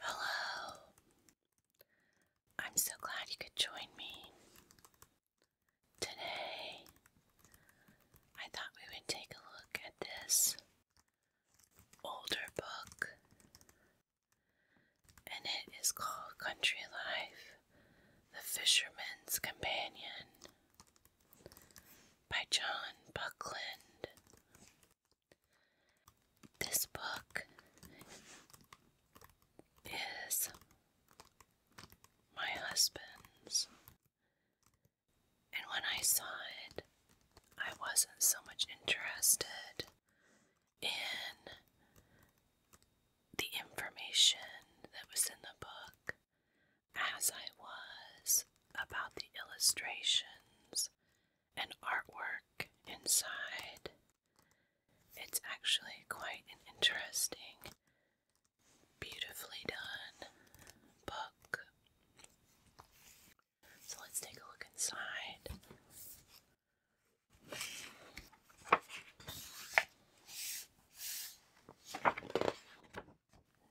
Hello. I'm so glad you could join me. Today, I thought we would take a look at this older book, and it is called Country Life The Fisherman's Companion by John Buckland. This book is my husband's, and when I saw it, I wasn't so much interested in the information that was in the book as I was about the illustrations has artwork inside. It's actually quite an interesting, beautifully done book. So let's take a look inside.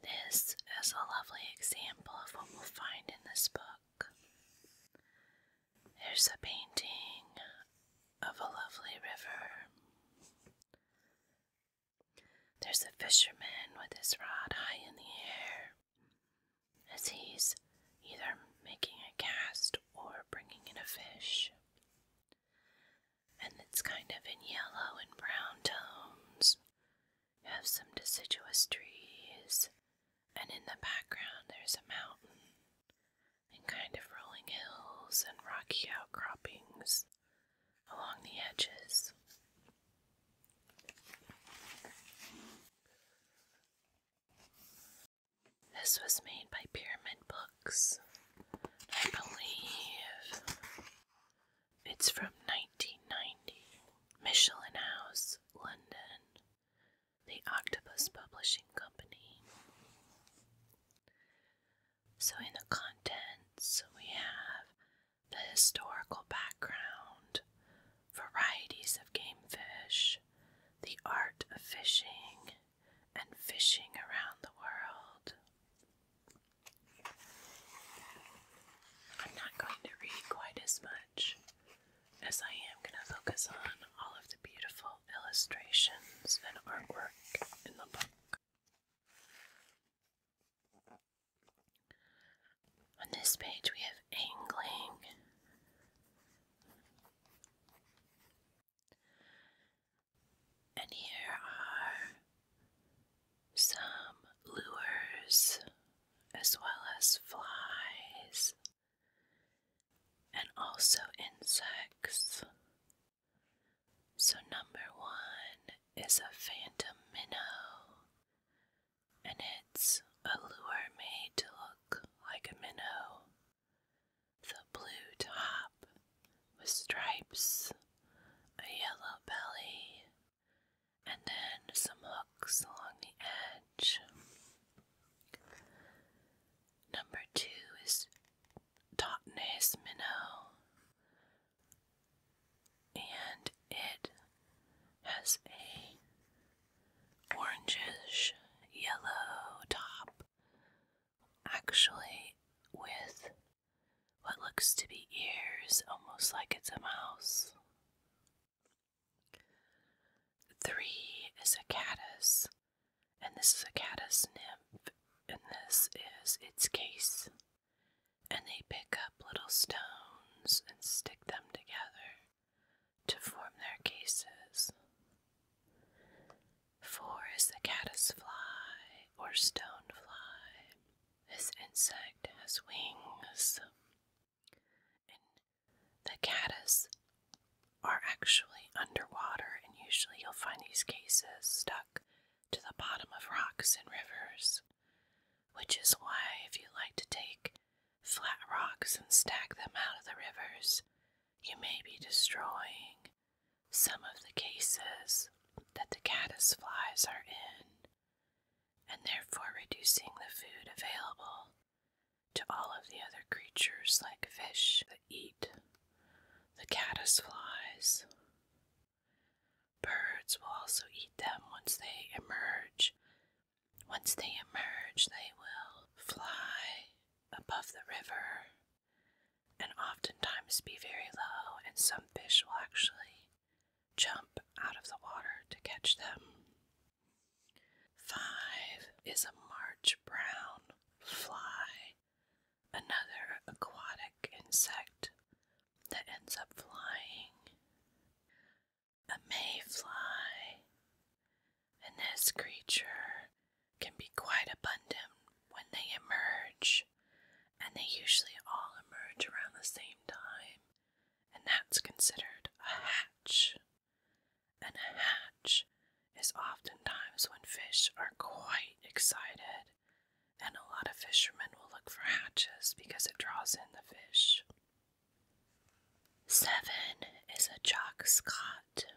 This is a lovely example of what we'll find in this book. There's a painting of a lovely river. There's a fisherman with his rod high in the air as he's either making a cast or bringing in a fish. And it's kind of in yellow and brown tones have some deciduous trees, and in the background, there's a mountain and kind of rolling hills and rocky outcroppings along the edges. This was made by Pyramid Books, I believe. It's from 1990. Michelin House, London. The Octopus Publishing Company. So, in the contents, we have the historical background, varieties of game fish, the art of fishing, and fishing around the world. I'm not going to read quite as much as I am going to focus on all of the beautiful illustrations and artwork in the book. On this page, we have angling. And here are some lures as well as flies and also insects. So, number one is a phantom minnow, and it's a lure made to look like a minnow. The blue top with stripes, a yellow belly, and then some hooks along the edge. Number two is Totnes Minnow, and it has a orangish yellow top, actually with what looks to be ears, almost like it's a mouse. Three is a caddis, and this is a caddis nymph, and this is its case. And they pick up little stones and stick them together to form their cases. Four is the fly, or stone fly. This insect has wings the caddis are actually underwater, and usually you'll find these cases stuck to the bottom of rocks and rivers, which is why, if you like to take flat rocks and stack them out of the rivers, you may be destroying some of the cases that the caddis flies are in and therefore reducing the food available to all of the other creatures like fish that eat, the caddis flies, Birds will also eat them once they emerge. Once they emerge, they will fly above the river and oftentimes be very low, and some fish will actually jump out of the water to catch them. Five is a March brown fly, another aquatic insect that ends up flying. A mayfly, and this creature can be quite abundant when they emerge, and they usually all emerge around the same time and that's considered a hatch. And a hatch is oftentimes when fish are quite excited, and a lot of fishermen will look for hatches because it draws in the fish. Seven is a jock scot,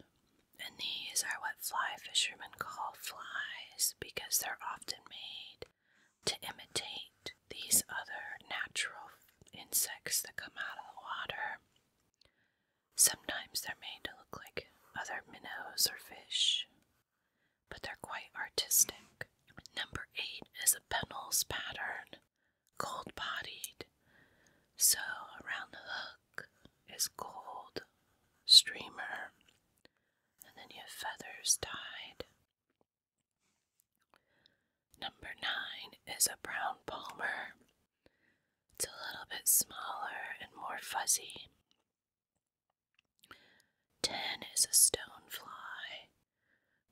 and these are what fly fishermen call flies because they're often made to imitate these other natural insects that come out of the water. Sometimes they're made to look like other minnows or fish, but they're quite artistic. Number eight is a Pennell's pattern, cold bodied. So around the hook is gold streamer, and then you have feathers tied. Number nine is a brown palmer. It's a little bit smaller and more fuzzy. Ten is a stonefly,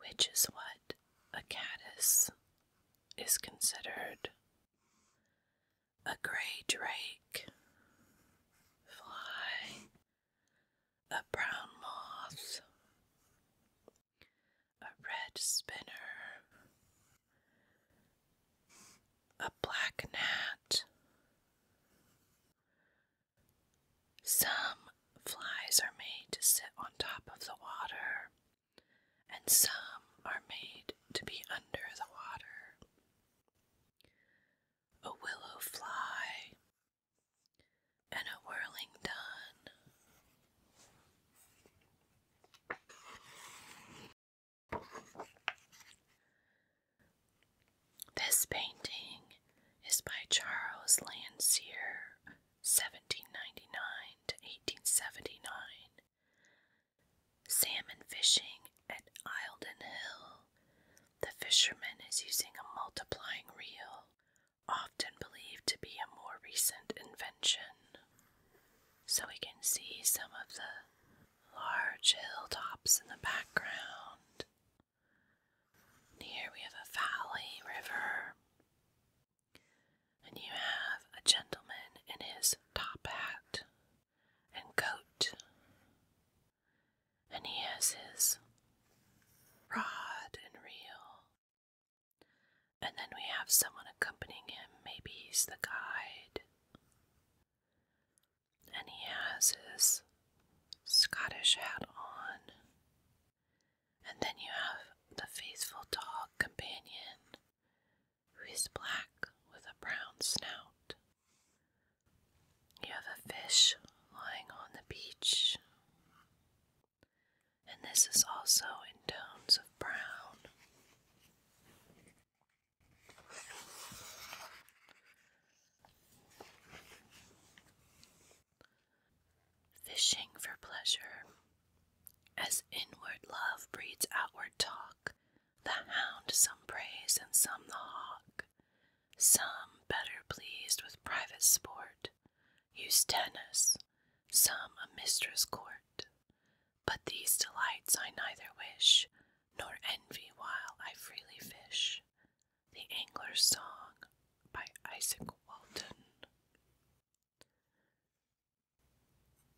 which is what a caddis is considered. A gray drake fly a brown moth, a red spinner, a black gnat. Some flies are made to sit on top of the water, and some are made to be under the water. A willow fly and a whirling dawn. This painting is by Charles Landseer, 1799 to 1879. Salmon fishing at Eildon Hill. The fisherman is using a multiplying reel often believed to be a more recent invention. So we can see some of the large hilltops in the background. Here we have a valley river. And you have a gentleman in his top hat and coat. And he has his rod and reel and then we have someone accompanying him. Maybe he's the guide. And he has his Scottish hat on. And then you have the faithful dog companion, who is black with a brown snout. You have a fish lying on the beach and this is also in tones of brown. Fishing for pleasure. As inward love breeds outward talk, the hound some praise and some the hawk, some better pleased with private sport, use tennis, some a mistress' court. But these delights I neither wish nor envy while I freely fish. The Angler's Song by Isaac Walton.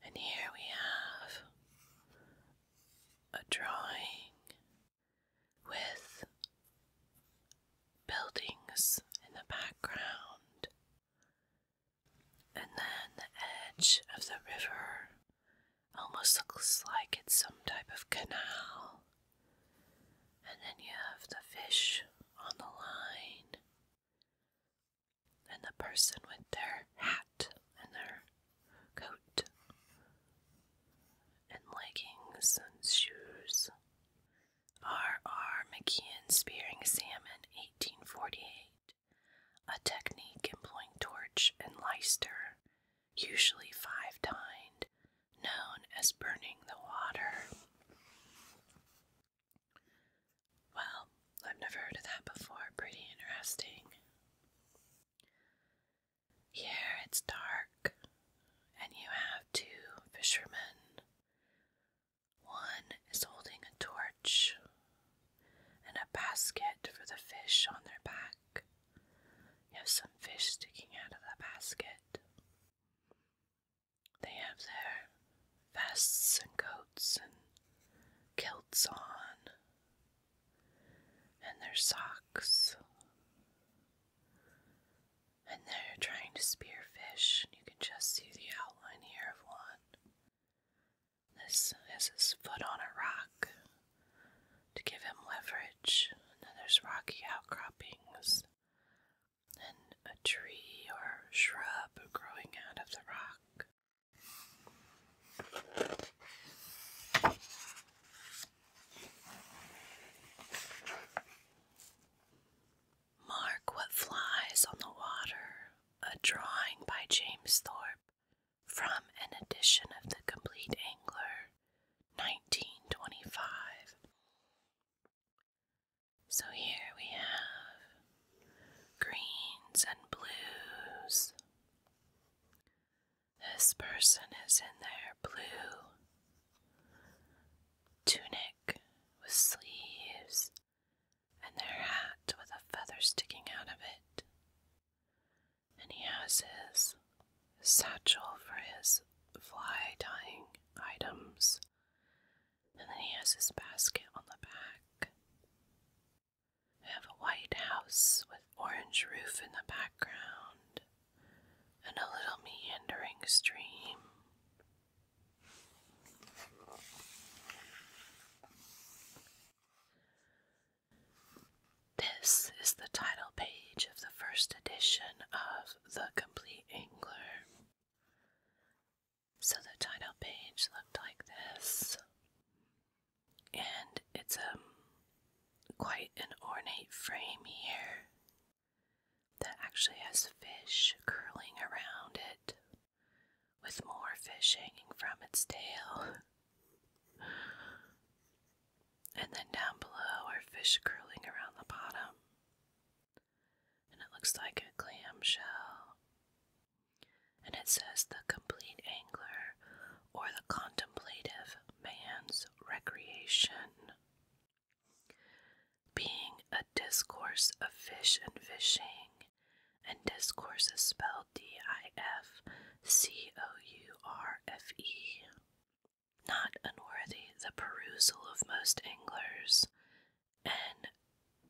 And here we have a drawing with buildings in the background, and then the edge of the river almost looks like it's some type of canal, and then you have the fish on the line, and the person with their hat and their coat and leggings and shoes R. R. McKeon spearing salmon, 1848, a technique employing torch and leister, usually five tined, known as burning the water. Well, I've never heard of that before. Pretty interesting. Here it's dark, and you have two fishermen one is holding a torch and a basket for the fish on their back. You have some fish sticking out of the basket. They have their vests and coats and kilts on, and their socks. And they're trying to spear fish. You can just see the outline here of one. This has his foot on a rock to give him leverage. And then there's rocky outcroppings and a tree or shrub growing out of the rock. Mark What Flies on the Water, a drawing by James Thorpe from an edition of The Complete Angler, 1925. So here we have greens and blues. This person is in their blue tunic with sleeves and their hat with a feather sticking out of it. And he has his satchel for his fly dying items. And then he has his basket on the back. I have a white house with orange roof in the background and a little meandering stream. This is the title page of the first edition of The Complete Angler. So the title page looked like this, and it's a um, quite an ornate frame here that actually has fish curling around it with more fish hanging from its tail. and then down below are fish curling around the bottom. And it looks like a clam shell. And it says the complete angler or the contemplative man's recreation. Being a discourse of fish and fishing, and discourse is spelled D I F C O U R F E. Not unworthy the perusal of most anglers, and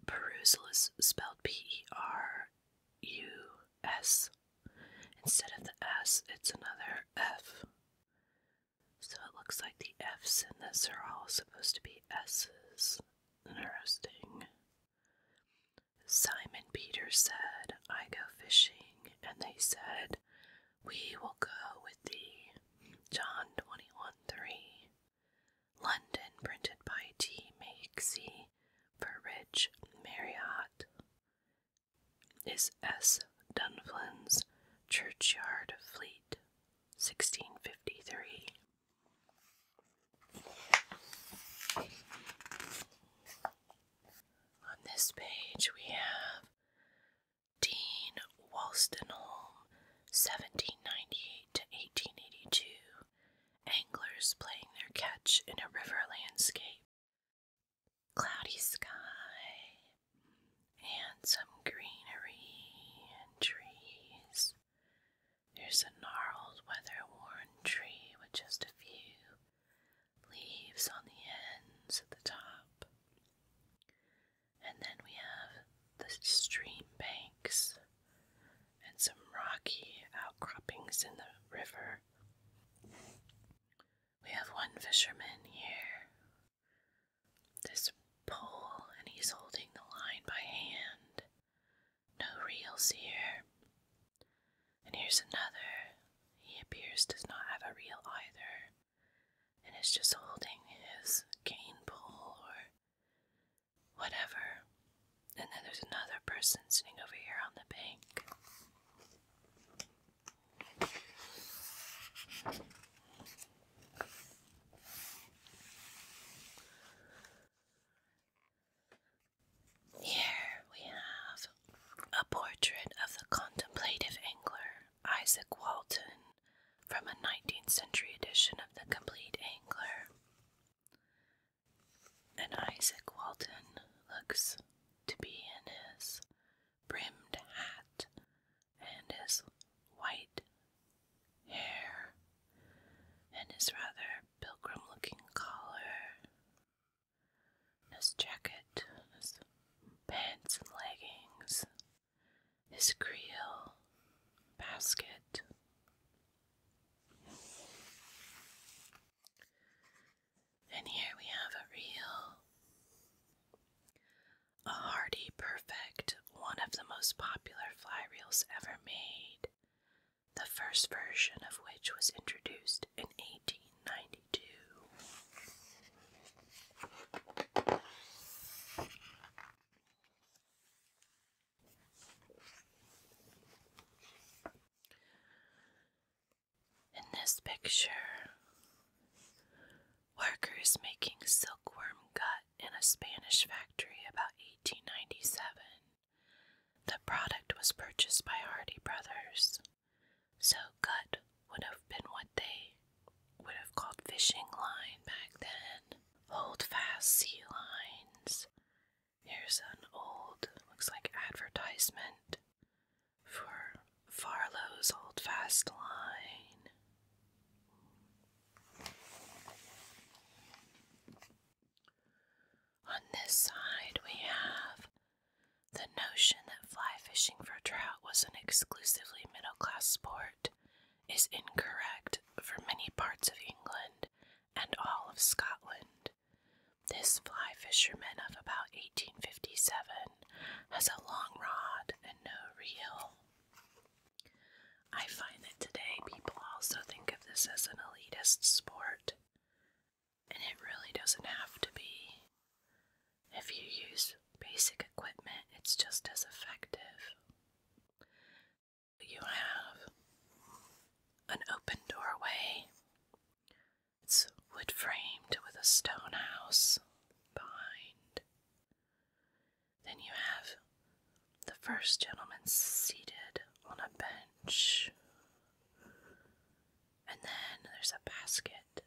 perusal is spelled P E R U S. Instead of the S, it's another F. So it looks like the F's in this are all supposed to be S's. Interesting. Simon Peter said, I go fishing, and they said, We will go with thee. John 21 3. London, printed by T. Makesy for Rich Marriott, is S. Dunflan's Churchyard Fleet 1653. On this page, we have Dean Wolstenholme, 1798 to 1882, anglers playing their catch in a river landscape. Cloudy sky, and some greenery and trees. There's a gnarled, weather worn tree with just a few leaves on the ends at the top. And then we have the stream banks and some rocky outcroppings in the river. We have one fisherman here this pole and he's holding the line by hand. No reels here. And here's another. He appears does not have a reel either. And is just holding his cane pole or whatever. And then there's another person sitting over here on the bank. Here we have a portrait of the contemplative angler Isaac Walton from a 19th century edition of The Complete Angler. And Isaac Walton looks to be in his brimmed hat and his white hair and his rather pilgrim looking collar, his jacket, his pants and leggings, his creel basket. And here we have a real a hardy, perfect, one of the most popular fly reels ever made, the first version of which was introduced in 1892. In this picture, Workers making silkworm gut in a Spanish factory about 1897. The product was purchased by Hardy Brothers. So, gut would have been what they would have called fishing line back then. Hold fast sea lines. Here's an old, looks like advertisement for Farlow's Hold Fast Line. On this side, we have the notion that fly fishing for trout was an exclusively middle class sport is incorrect for many parts of England and all of Scotland. This fly fisherman of about 1857 has a long rod and no reel. I find that today people also think of this as an elitist sport, and it really doesn't have to be. If you use basic equipment, it's just as effective. You have an open doorway, it's wood framed with a stone house behind. Then you have the first gentleman seated on a bench. And then there's a basket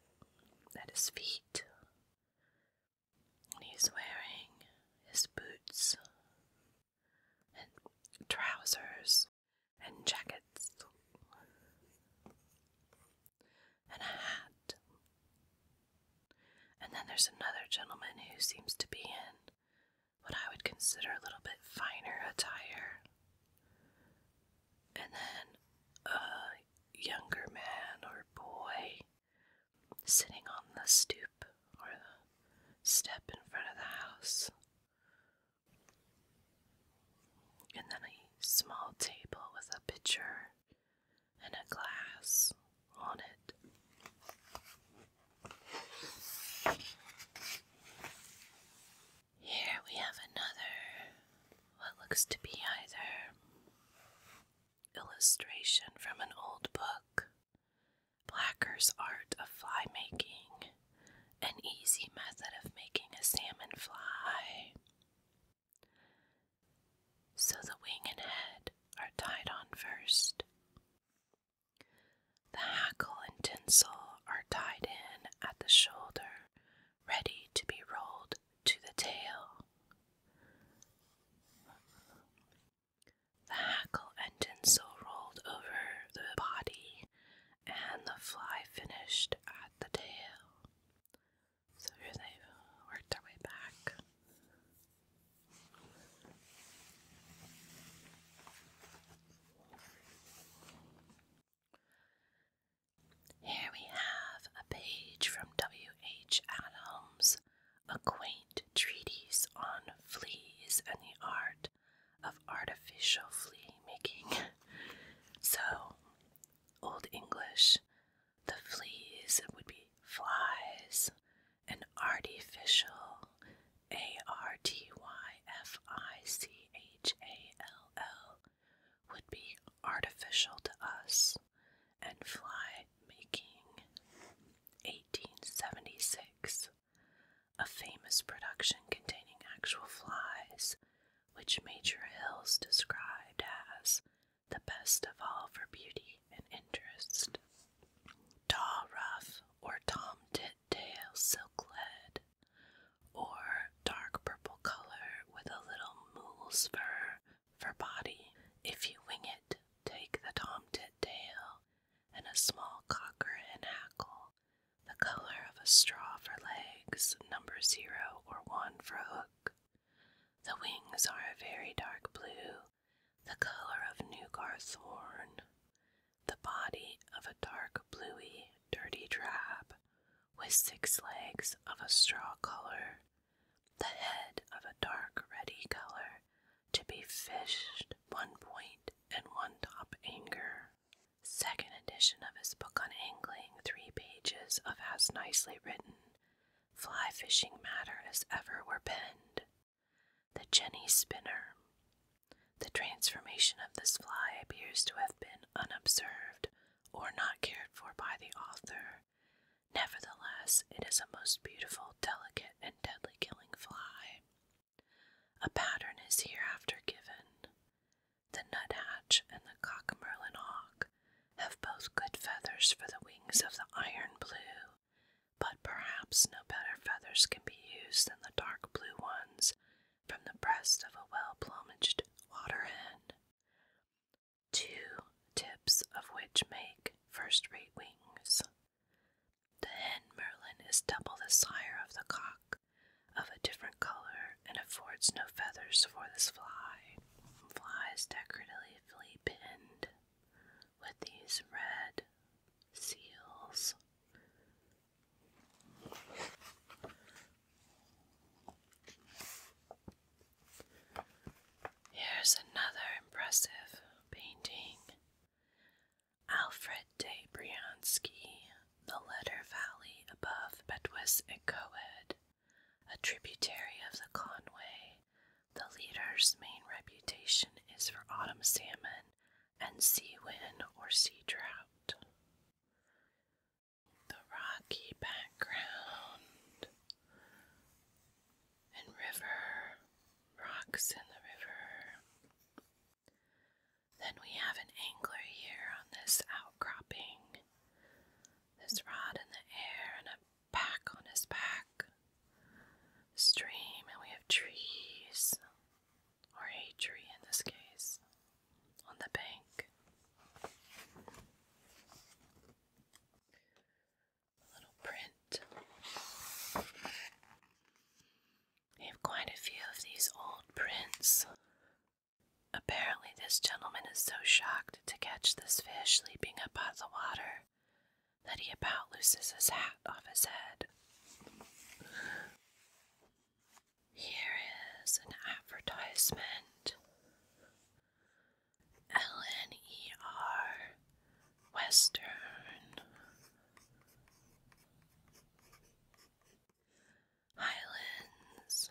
at his feet. And he's wearing his boots and trousers and jackets and a hat. And then there's another gentleman who seems to be in what I would consider a little bit finer attire. And then a younger man or boy sitting on the stoop or the step in front of the house. And then a small table with a pitcher and a glass on it. Here we have another, what looks to be either illustration from an old book, Blacker's Art of Fly Making, an easy method of making a salmon fly, so the wing and head are tied on first. The hackle and tinsel are tied in at the shoulder, ready to be rolled to the tail. The hackle and tinsel rolled over the body, and the fly finished at the tail. So they uh, worked their way back. Here we have a page from W. H. Adams, a quaint treatise on fleas and the art of artificial flea making. so, Old English the fleas would be flies, an artificial, A R T Y F I C H A L L, would be artificial to us, and fly making. 1876, a famous production containing actual flies, which Major Hills described as the best of all for beauty and interest. Taw rough or Tom Tit tail silk or dark purple color with a little moose fur for body. If you wing it, take the Tom Tit tail and a small cocker and hackle, the color of a straw for legs, number zero or one for hook. The wings are a very dark blue, the color of Nugar's horn, the body of a dark bluey, dirty drab, with six legs of a straw color, the head of a dark redy color, to be fished one point and one top anchor. Second edition of his book on angling, three pages of as nicely written fly fishing matter as ever were penned. The Jenny Spinner. The transformation of this fly appears to have been unobserved or not cared for by the author. Nevertheless, it is a most beautiful, delicate, and deadly killing fly. A pattern is hereafter given. The nuthatch and the cockmerlin hawk have both good feathers for the wings of the iron blue, but perhaps no better feathers can be used than the dark blue ones from the breast of a well plumaged water hen. Two tips of which make first rate wings. The hen merlin is double the sire of the cock, of a different color, and affords no feathers for this fly. Flies decoratively pinned with these red seals. Here's another impressive painting Alfred de Bryanski, The Letter Valley above Betwis and Coed, a tributary of the Conway, the leader's main reputation is for autumn salmon and sea whin or sea drought. The rocky background and river, rocks in the river. Then we have an angler here on this outcropping. This rod in the air and a back on his back. Stream, and we have trees, or a tree in this case, on the bank. little print. They have quite a few of these old prints. Apparently, this gentleman is so shocked to catch this fish leaping up out of the water that he about loses his hat off his head. Here is an advertisement. LNER Western Highlands.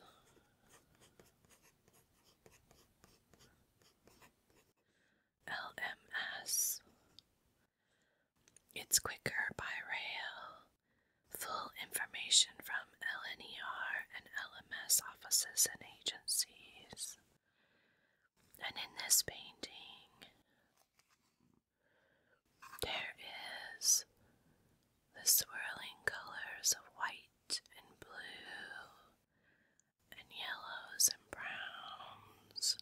LMS. It's quicker by rail. Full information from LNER and LMS offices and agencies. And in this painting, there is the swirling colors of white and blue, and yellows and browns,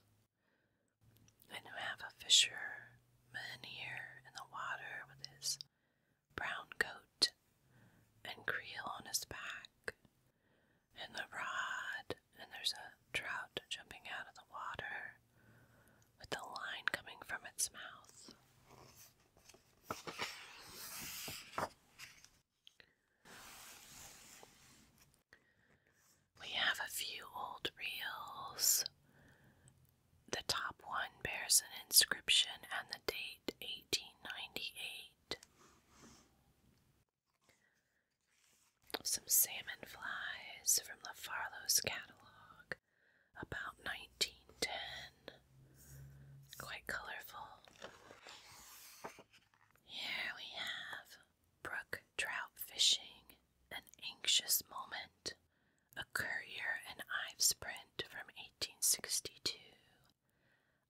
and you have a fisher man here in the water with his brown coat and creel on his back, and the rod, and there's a trout jumping out of the water with the line coming from its mouth. We have a few old reels. The top one bears an inscription and the date 1898. Some salmon flies from the Farlow's catalog, about 1910. Quite colorful. Here we have brook trout fishing, an anxious moment, a Courier and Ives print from 1862.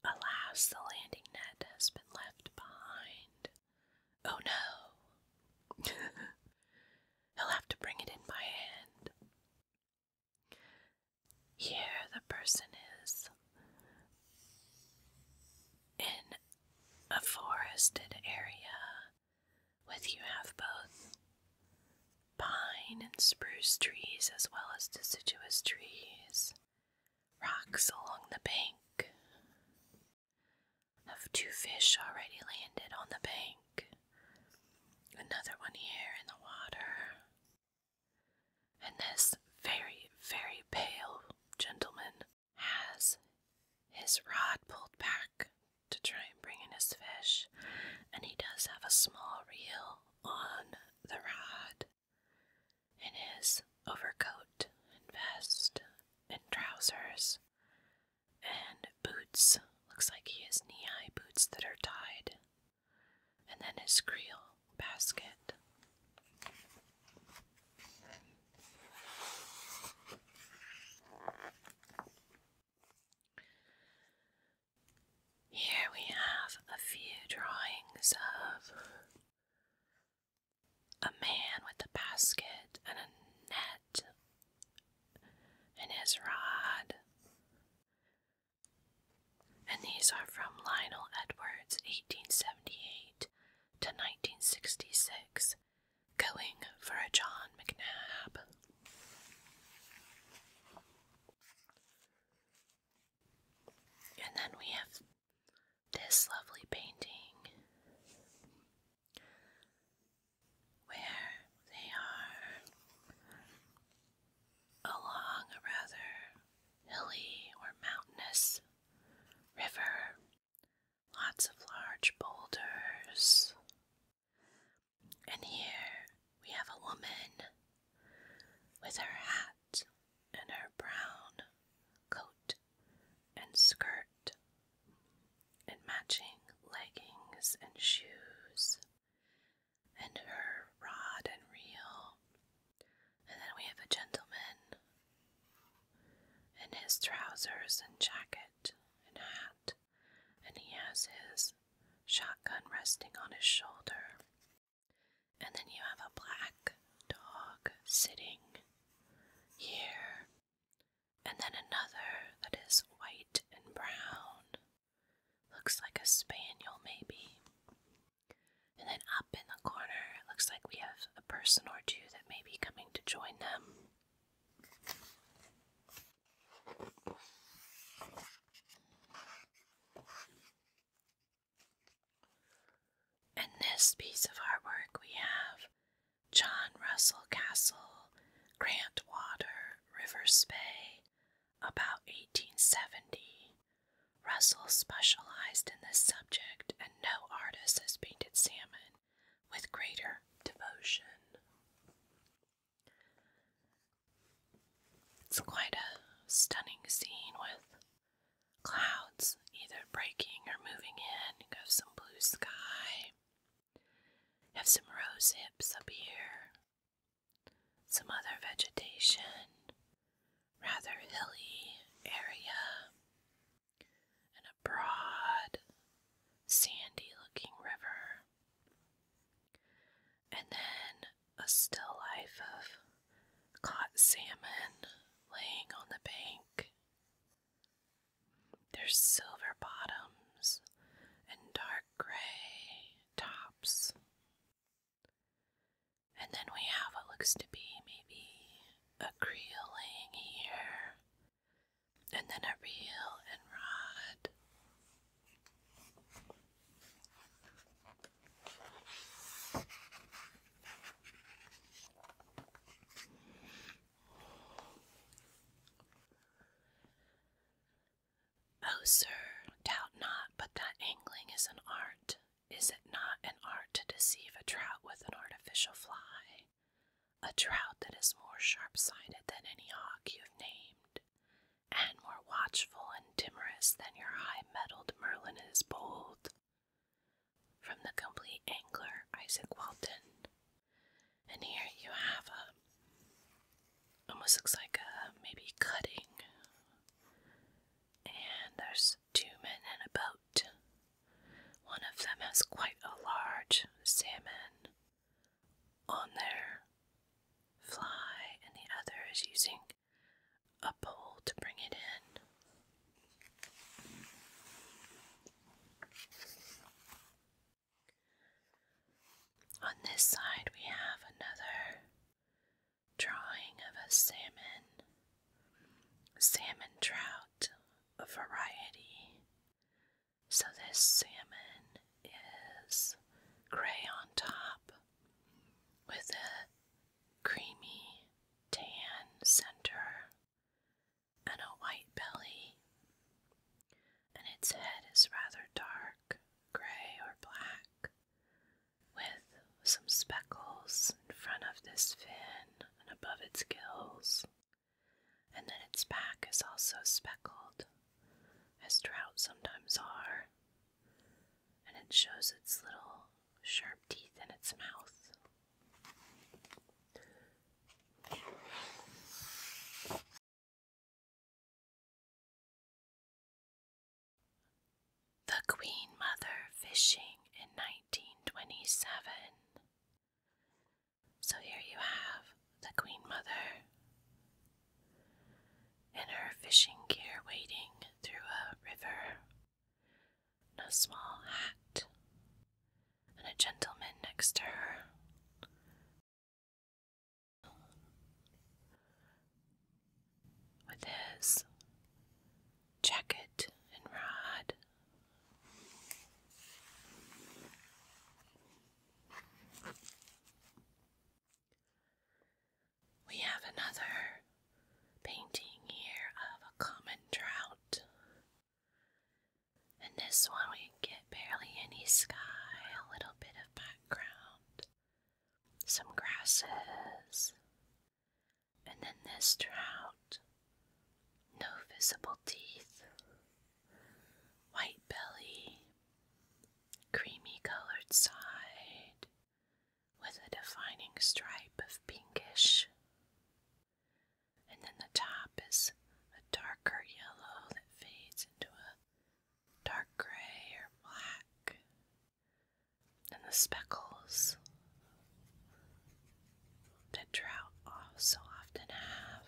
Alas, the landing net has been left behind. Oh no! He'll have to bring it in by hand. Here the person is in a forested area with you have both pine and spruce trees as well as deciduous trees, rocks along the bank. Have two fish already landed on the bank, another one here in the water. And this very, very pale gentleman has his rod pulled back to try and bring in his fish, and he does have a small reel on the rod in his overcoat and vest and trousers and boots. Looks like he has knee high boots that are tied and then his creel basket. Here we have a few drawings of a man with a basket and a net and his rod and these are from Lionel Edwards, 1878 to 1966, going for a John McNab. And then we have this lovely painting where they are along a rather hilly or mountainous river, lots of large boulders. And here we have a woman with her hat and her brown coat and skirt and matching leggings and shoes and her rod and reel and then we have a gentleman in his trousers and jacket and hat, and he has his shotgun resting on his shoulder. And then you have a black dog sitting here, and then another that is white and brown. Looks like a spaniel, maybe. And then up in the corner, it looks like we have a person or two that may be coming to join them. In this piece of artwork, we have John Russell Castle, Grant Water, River Spey, about 1870, Russell specialized in this subject, and no artist has painted salmon with greater devotion. It's quite a stunning scene with clouds either breaking or moving in. You have some blue sky, have some rose hips up here, some other vegetation, rather hilly area and a broad, sandy looking river, and then a still life of caught salmon laying on the bank. Their silver bottoms and dark gray tops. And then we have what looks to be maybe a creel laying here, and then a reel and rod. Oh, sir, doubt not but that angling is an art, is it not an art to deceive a trout with an artificial fly? A trout that is more sharp sighted than any hawk you have named, and more watchful and timorous than your high mettled Merlin is bold. From the complete angler, Isaac Walton. And here you have a almost looks like a maybe cutting and there's two men in a boat. One of them has quite a large salmon on their fly, and the other is using a pole to bring it in. On this side, we have another drawing of a salmon, salmon trout, a variety. So this salmon is gray on top with a creamy tan center and a white belly, and its head is rather dark gray or black with some speckles in front of this fin and above its gills. And then its back is also speckled, as trout sometimes are. And it shows its little sharp teeth in its mouth. The Queen Mother fishing in 1927. So here you have the Queen Mother in her fishing gear wading through a river, and a small hat, and a gentleman next to her with his jacket and rod. We have another painting here of a common trout. And this one, we get barely any sky, a little bit of background, some grasses, and then this trout, no visible teeth, white belly, creamy colored side with a defining stripe of pinkish, and then the top is a darker yellow that fades into a dark gray or black and the speckles that trout oh, so often have.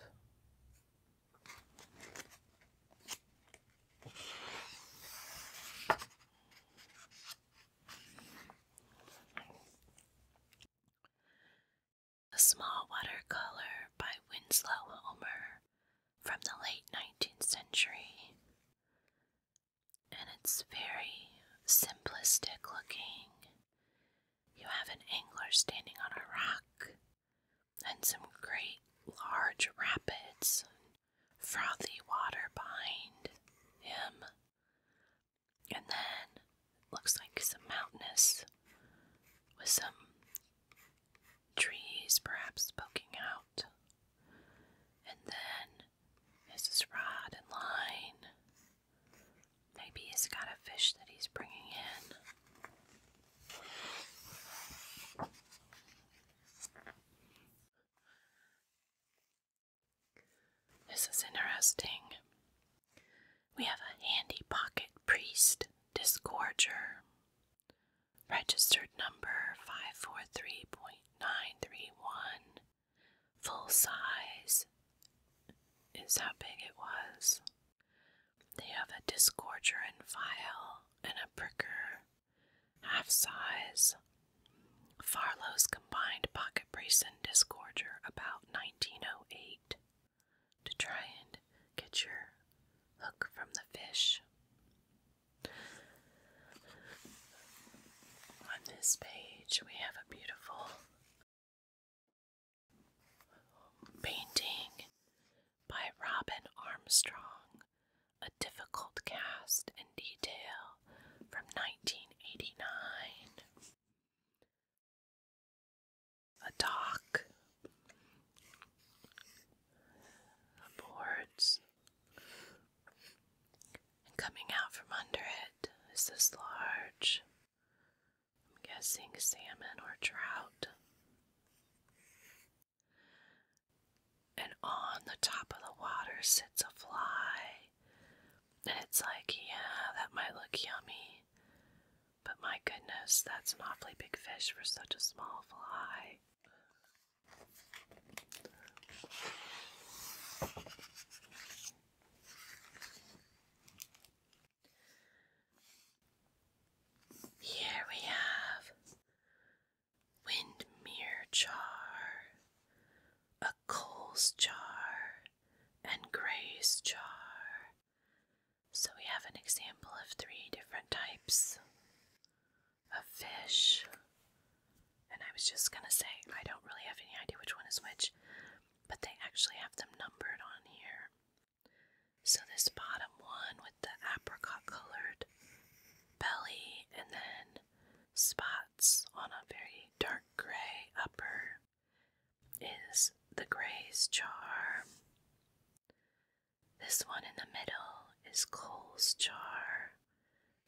A small watercolor by Winslow Homer from the late 19th century and it's very simplistic looking. You have an angler standing on a rock and some great large rapids frothy water behind him. And then looks like some mountainous with some trees perhaps poking out. And then Mrs. Rod in line. Maybe he's got a fish that he's bringing in. This is interesting. We have a handy pocket priest disgorger. Registered number 543.931. Full size is how big it was. They have a disgorger and file and a pricker, half size. Farlow's combined pocket brace and disgorger about 1908 to try and get your hook from the fish. On this page, we have a beautiful painting by Robin Armstrong, a difficult cast in detail from 1989. A dock, boards, and coming out from under it is this large, I'm guessing salmon or trout. And on the top of the water sits a fly. And it's like, yeah, that might look yummy. But my goodness, that's an awfully big fish for such a small fly. Here we have windmere jar, a coals jar, and grace jar. So we have an example of three different types of fish and I was just gonna say, I don't really have any idea which one is which, but they actually have them numbered on here. So this bottom one with the apricot colored belly and then spots on a very dark gray upper is the Gray's Jar. This one in the middle is Cole's Jar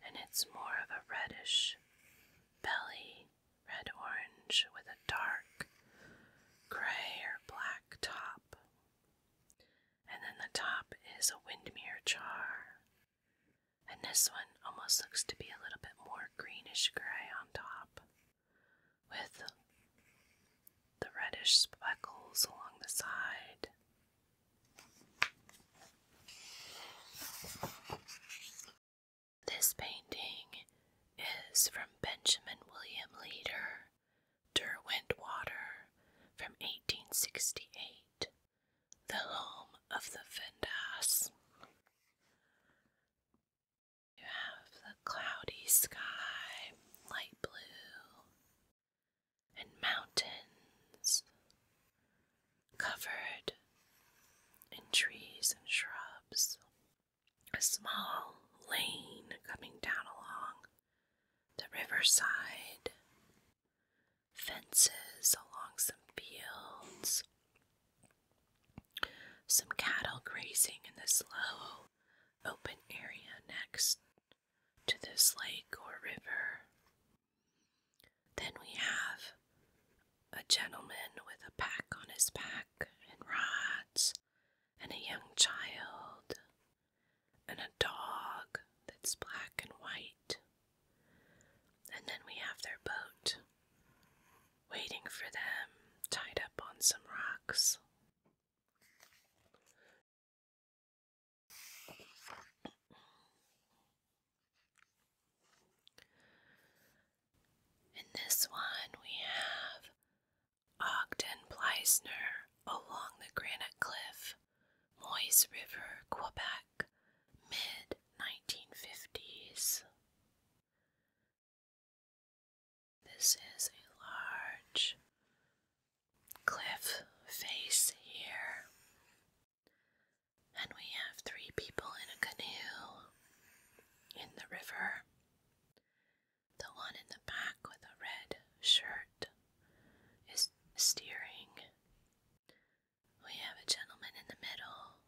and it's more of a reddish belly, red orange, with a dark gray or black top. And then the top is a windmere char. And this one almost looks to be a little bit more greenish gray on top, with the reddish speckles along the side. This painting is from Benjamin William Leader, Derwentwater, from 1868, the home of the Vendas. You have the cloudy sky, light blue, and mountains covered in trees and shrubs. A small lane coming down along the riverside, fences along some fields, some cattle grazing in this low open area next to this lake or river. Then we have a gentleman with a pack on his back and rods, and a young child, and a dog that's black and white. And then we have their boat waiting for them, tied up on some rocks. In this one, we have Ogden Pleisner along the Granite Cliff, Moise River, Quebec, mid 1950s. This is a large cliff face here and we have three people in a canoe in the river. The one in the back with a red shirt is steering. We have a gentleman in the middle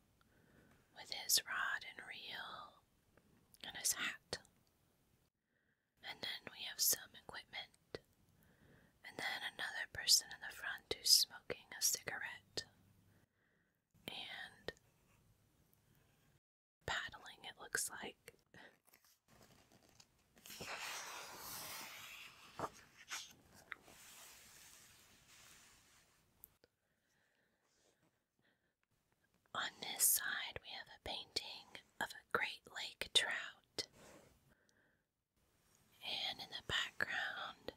with his rod and reel and his hat. And then we have some equipment. And then another person in the front who's smoking a cigarette and paddling, it looks like. On this side, we have a painting of a great lake trout and in the background,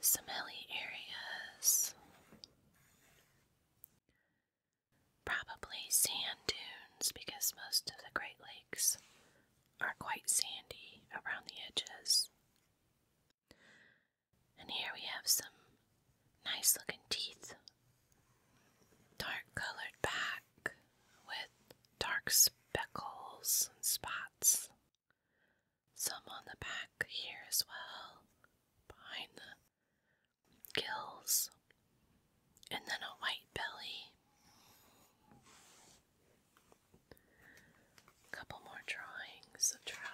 some hilly areas, probably sand dunes because most of the Great Lakes are quite sandy around the edges. And here we have some nice looking teeth, dark colored back with dark speckles and spots some on the back here as well, behind the gills, and then a white belly. A couple more drawings of trout.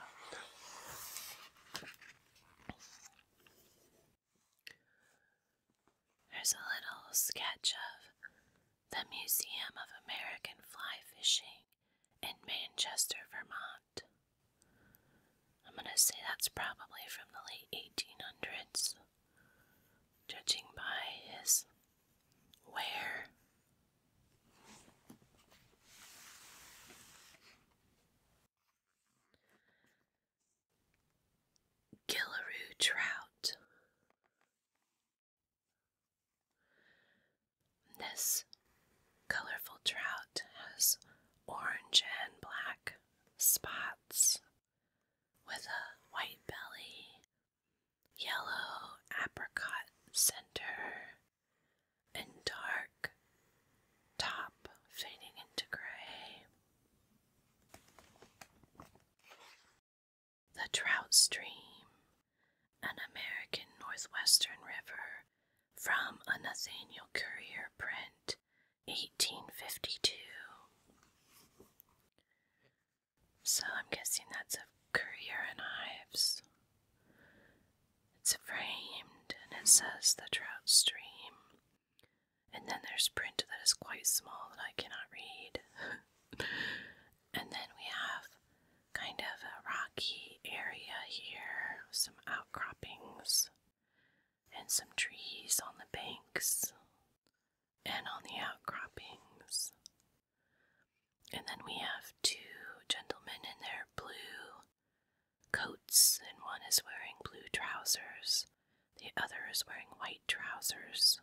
There's a little sketch of the Museum of American Fly Fishing in Manchester, Vermont. I'm going to say that's probably from the late 1800s, judging by his wear. Gillaroo trout. This colorful trout has orange and black spots with a white belly, yellow apricot center, and dark top fading into gray. The Trout Stream, an American Northwestern river from a Nathaniel Currier print, 1852. So I'm guessing that's a Currier and Ives. It's framed and it says the Trout Stream. And then there's print that is quite small that I cannot read. And then we have kind of a rocky area here, some outcroppings and some trees on the banks and on the outcroppings. And then we have two gentlemen in their blue coats, and one is wearing blue trousers, the other is wearing white trousers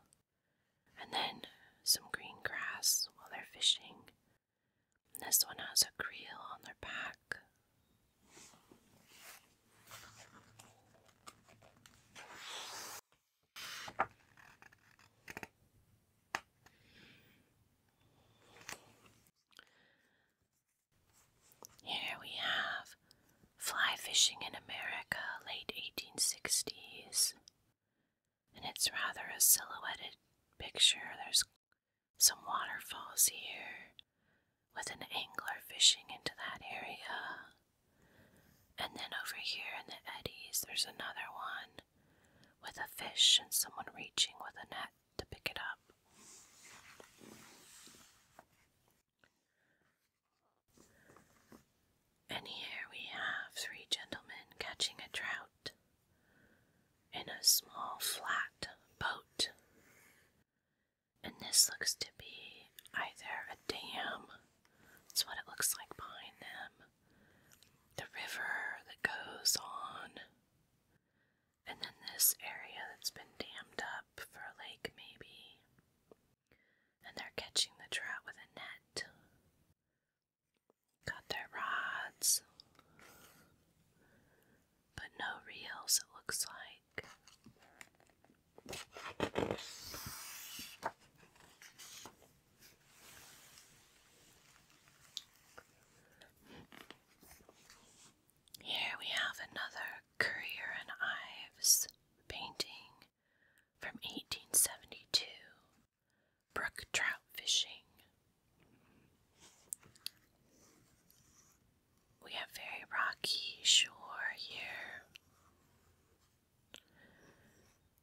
and then some green grass while they're fishing. this one has a creel on their back. Here we have fly fishing in America, late 1860s and it's rather a silhouetted picture. There's some waterfalls here with an angler fishing into that area. And then over here in the eddies, there's another one with a fish and someone reaching with a net to pick it up. And here we have three gentlemen catching a trout in a small flat boat. And this looks to be either a dam, that's what it looks like behind them, the river that goes on, and then this area that's been dammed up for a lake, maybe. And they're catching the trout with a net. Got their rods, but no reels, it looks like. Here we have another Courier and Ives painting from 1872 brook trout fishing. We have very rocky shore here,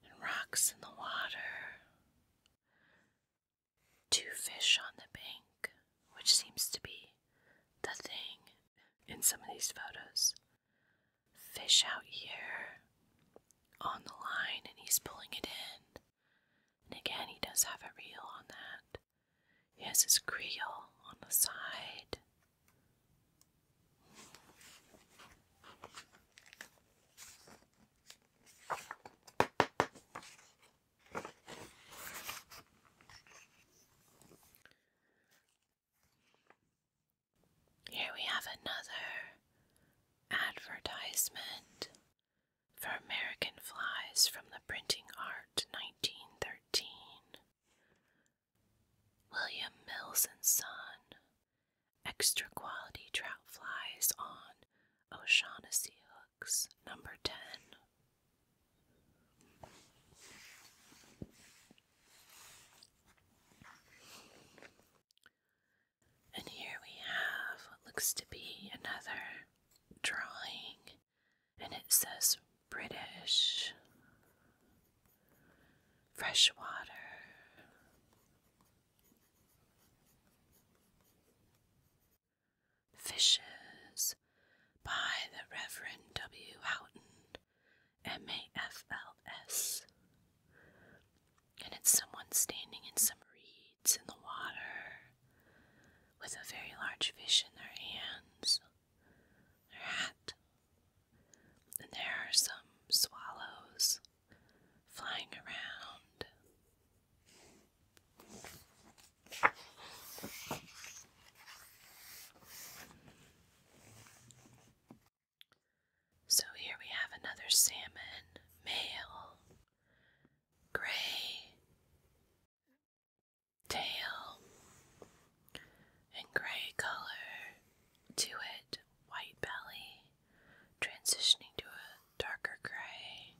and rocks in the water. Two fish on the bank, which seems to be the thing in some of these photos fish out here on the line and he's pulling it in. And again, he does have a reel on that. He has his creel on the side. Here we have another advertisement for American Flies from the Printing Art 1913. William Mills and Son. Extra quality trout flies on O'Shaughnessy hooks, number 10. And here we have what looks to be another drawing, and it says British fresh water. Fishes by the Reverend W. Houghton, M.A.F.L.S and it's someone standing in some reeds in the water with a very large fish in their hands, their hat. And there are some swallows flying around. So here we have another salmon, male, gray, tail, and gray color to it, white belly, transitioning to a darker gray.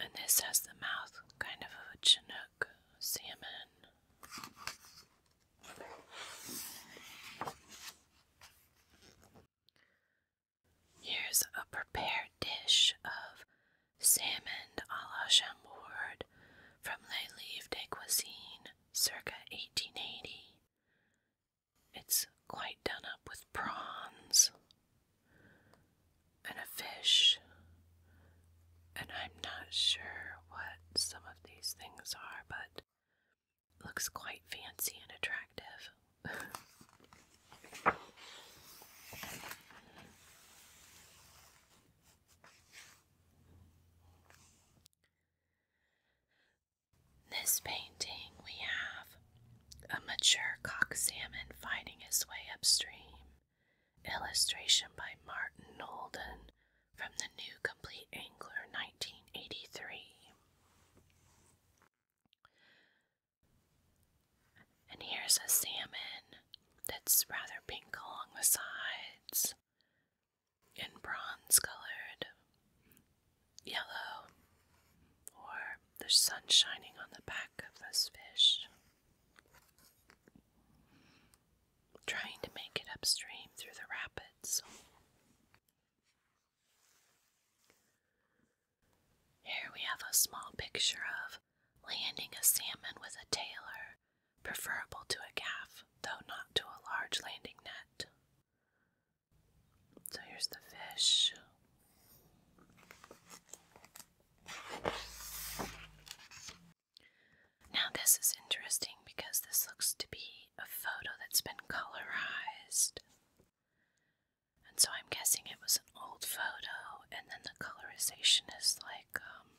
And this has the mouth kind of a Chinook salmon. Here's a prepared dish of salmon a la Chambord from Les Livres de Cuisine, circa 1880. It's quite done up with prawns and a fish, and I'm not sure what some of these things are, but Looks quite fancy and attractive. this painting, we have a mature cock salmon finding his way upstream. Illustration by Martin Nolden from the New Complete Angler 1983. And here's a salmon that's rather pink along the sides and bronze colored yellow, or the sun shining on the back of this fish. Trying to make it upstream through the rapids. Here we have a small picture of landing a salmon with a tailor, preferable to a gaff, though not to a large landing net. So here's the fish. Now, this is interesting because this looks to be a photo that's been colorized. And so I'm guessing it was an old photo, and then the colorization is like um,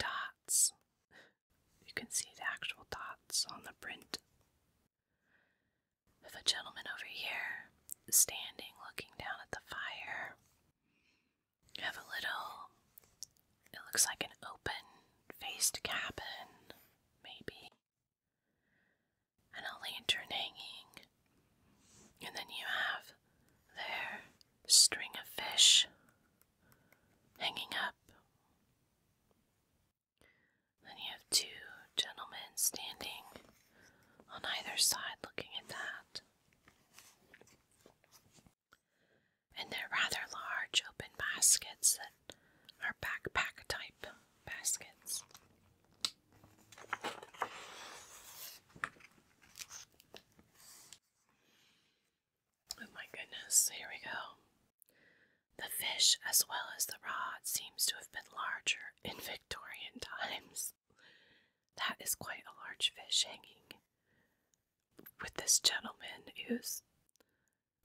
dots. You can see the actual dots on the print. Of a gentleman over here standing looking down at the fire. You have a little, it looks like an open faced cabin maybe, and a lantern hanging. And then you have their string of fish hanging up. Then you have two gentlemen standing on either side looking at that and they're rather large open baskets that are backpack type baskets. Oh my goodness, here we go. The fish, as well as the rod, seems to have been larger in Victorian times. That is quite a large fish hanging with this gentleman who's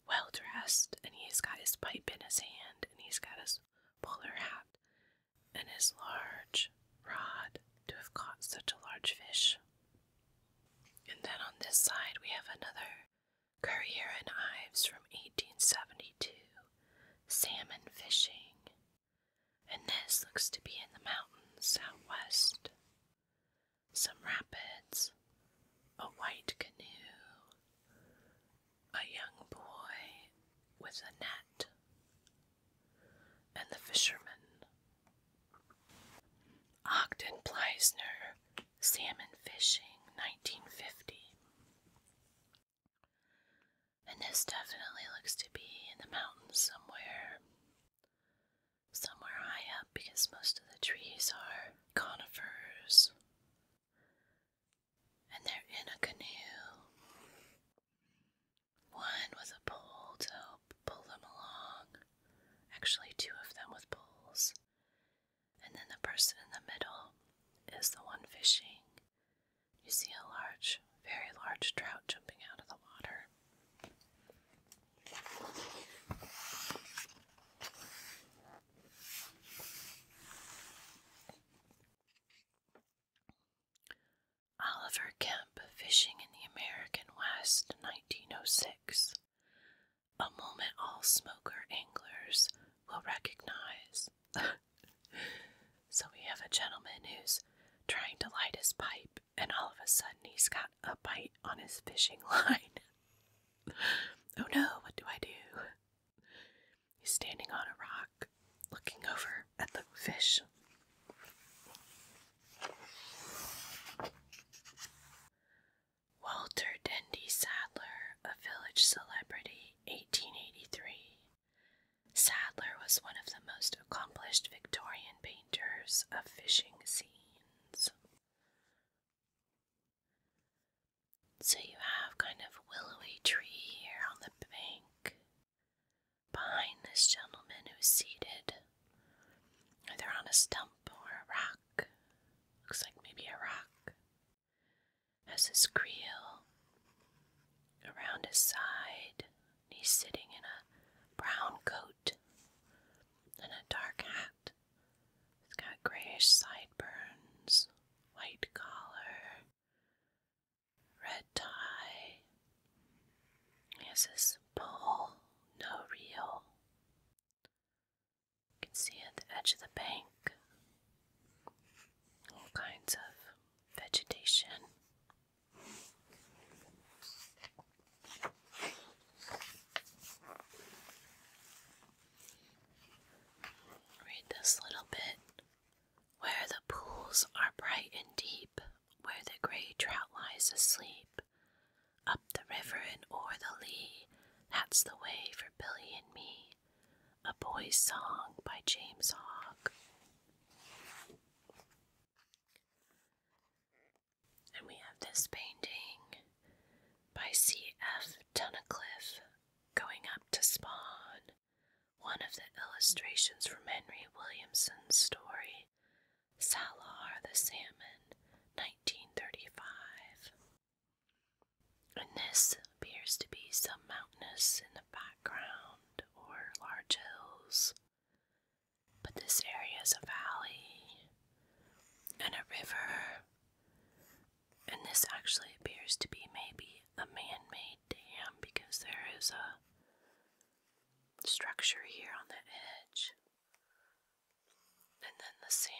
well dressed, and he's got his pipe in his hand, and he's got his bowler hat and his large rod to have caught such a large fish. And then on this side, we have another Currier and Ives from 1872 salmon fishing. And this looks to be in the mountains southwest some rapids, a white canoe, a young boy with a net, and the fisherman. Ogden Pleisner, Salmon Fishing, 1950. And this definitely looks to be in the mountains somewhere. Somewhere high up because most of the trees are conifers and they're in a canoe. One with a pole to help pull them along. Actually, two of them with poles. And then the person in the middle is the one fishing. You see a large, very large trout jumping out of the water. Oliver Kemp Fishing in the American West 1906. A moment all smoker anglers will recognize. so we have a gentleman who's trying to light his pipe, and all of a sudden he's got a bite on his fishing line. Oh no, what do I do? He's standing on a rock, looking over at the fish. Walter Dendy Sadler, a village celebrity, 1883. Sadler was one of the most accomplished Victorian painters of fishing scenes. So you have kind of willowy tree here on the bank behind this gentleman who's seated either on a stump or a rock. Looks like maybe a rock. Has his creel around his side. He's sitting in a brown coat and a dark hat it has got grayish sideburns, white collar, red tie. He has this pole, no reel. You can see at the edge of the bank all kinds of vegetation. Read this little bit. Where the pools are bright and deep, where the gray trout lies asleep, up the river and o'er the lea, that's the way for Billy and me. A Boy's Song by James Hogg. And we have this painting by C.F. Tunnicliffe, Going Up to Spawn, one of the illustrations from Henry Williamson's story, Salar the Salmon, 1935. And this appears to be some mountainous in the background or large hills. But this area is a valley and a river and this actually appears to be maybe a man made dam because there is a structure here on the edge. And then the salmon.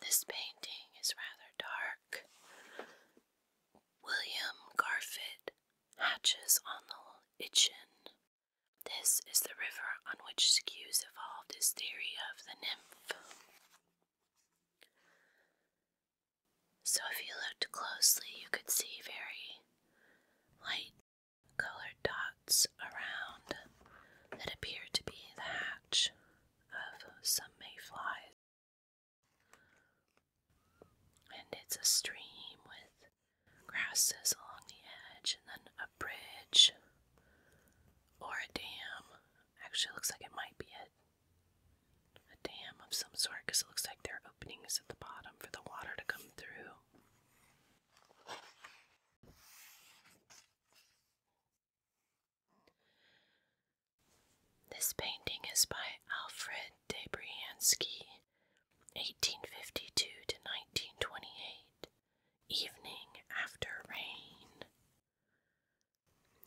This painting is rather dark. William Garfit hatches on the Itchen. This is the river on which Skews evolved his theory of the nymph. So, if you looked closely, you could see very light colored dots around that appear to be the hatch of some mayflies. And it's a stream with grasses along the edge and then a bridge or a dam. Actually, looks like it might be a, dam of some sort because it looks like there are openings at the bottom for the water to come through. This painting is by Alfred Debriansky, 1852 to 1928, Evening After Rain.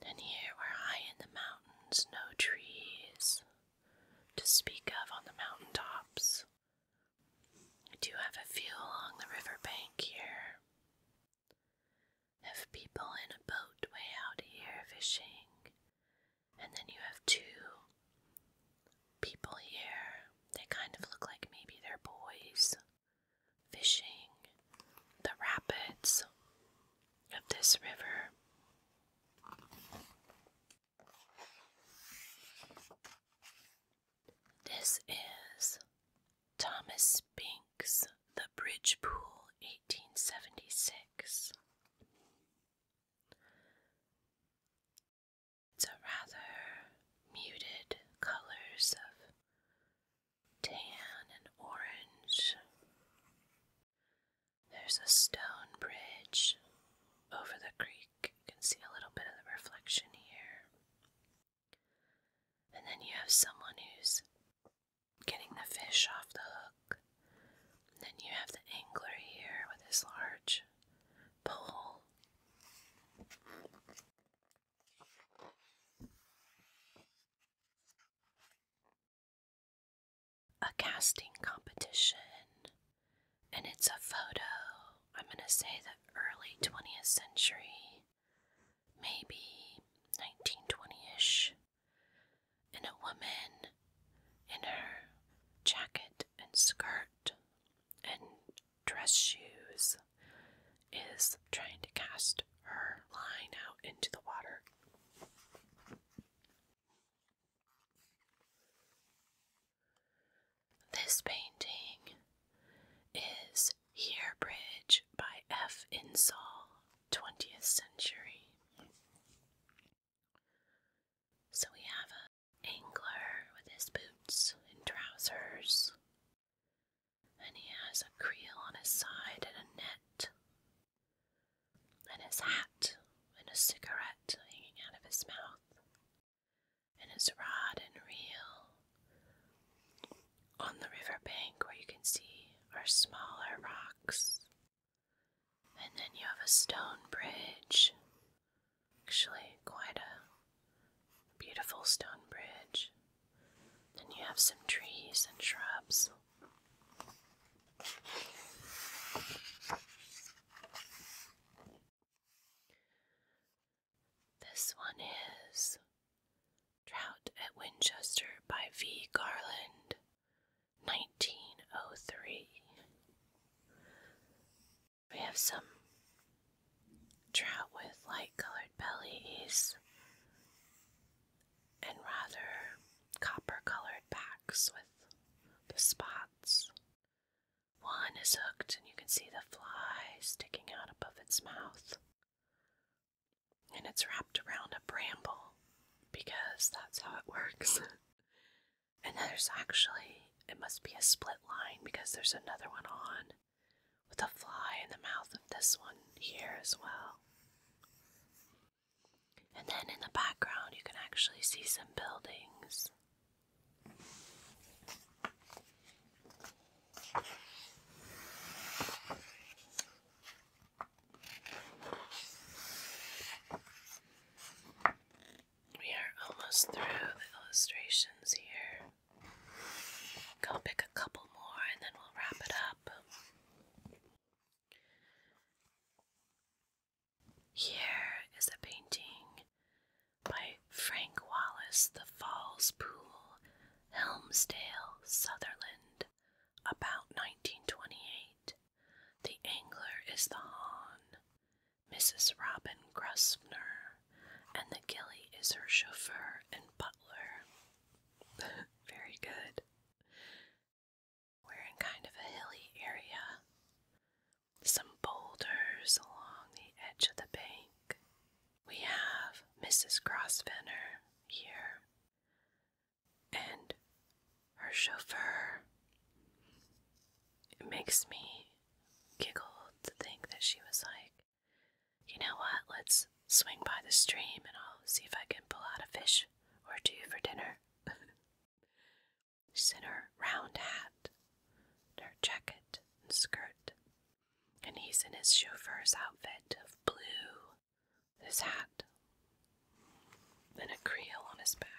And here we're high in the mountains, no trees to speak of on the mountain tops. I do have a view along the river bank here. Have people in a boat way out here fishing, and then you have two people here. They kind of look like maybe they're boys fishing the rapids of this river. This is Thomas Binks, The Bridge Pool, 1876. It's a rather muted colors of tan and orange. There's a stone bridge over the creek. You can see a little bit of the reflection here. And then you have someone who's getting the fish off the hook. And then you have the angler here with his large pole. A casting competition, and it's a photo. I'm going to say the early 20th century maybe 1920 ish, and a woman in her jacket and skirt and dress shoes is trying to cast her line out into the water. This painting is here Bridge by F. Insall, 20th century. So we have a angler with his boots and trousers, and he has a creel on his side and a net, and his hat and a cigarette hanging out of his mouth, and his rod and reel, on the river bank, where you can see are smaller rocks. And then you have a stone bridge. Actually, quite a beautiful stone bridge. Then you have some trees and shrubs. This one is Trout at Winchester by V. Garland, 1903. We have some trout with light colored bellies and rather copper colored backs with the spots. One is hooked, and you can see the fly sticking out above its mouth and it's wrapped around a bramble because that's how it works. and there's actually, it must be a split line because there's another one on with a fly in the mouth of this one here as well. And then in the background, you can actually see some buildings. We are almost through the illustrations here. Go pick a couple more and then we'll wrap it up. Here is a painting by Frank Wallace, The Falls Pool, Helmsdale, Sutherland. About 1928, the angler is the hahn, Mrs. Robin Grosvenor, and the gilly is her chauffeur and butler. Very good. We're in kind of a hilly area. Some boulders along the edge of the bank. We have Mrs. Grosvenor here and her chauffeur. It makes me giggle to think that she was like, you know what, let's swing by the stream and I'll see if I can pull out a fish or two for dinner. She's in her round hat, her jacket and skirt, and he's in his chauffeur's outfit of blue his hat, and a creel on his back.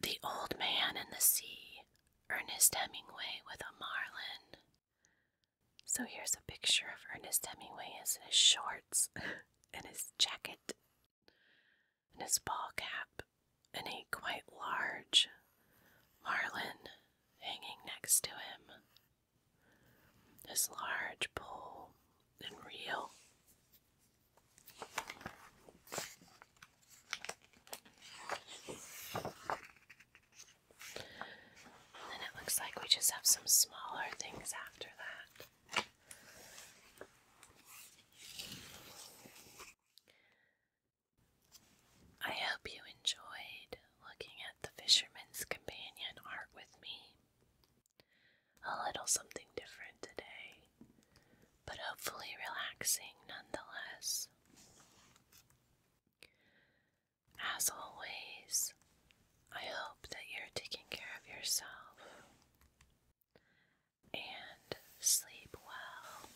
The Old Man and the Sea, Ernest Hemingway with a marlin. So here's a picture of Ernest Hemingway in his shorts and his jacket and his ball cap and a quite large marlin hanging next to him. His large pole and reel. And it looks like we just have some smaller things after that. I hope you enjoyed looking at the Fisherman's Companion art with me. A little something different today, but hopefully relaxing nonetheless. As always, I hope that you're taking care of yourself and sleep well.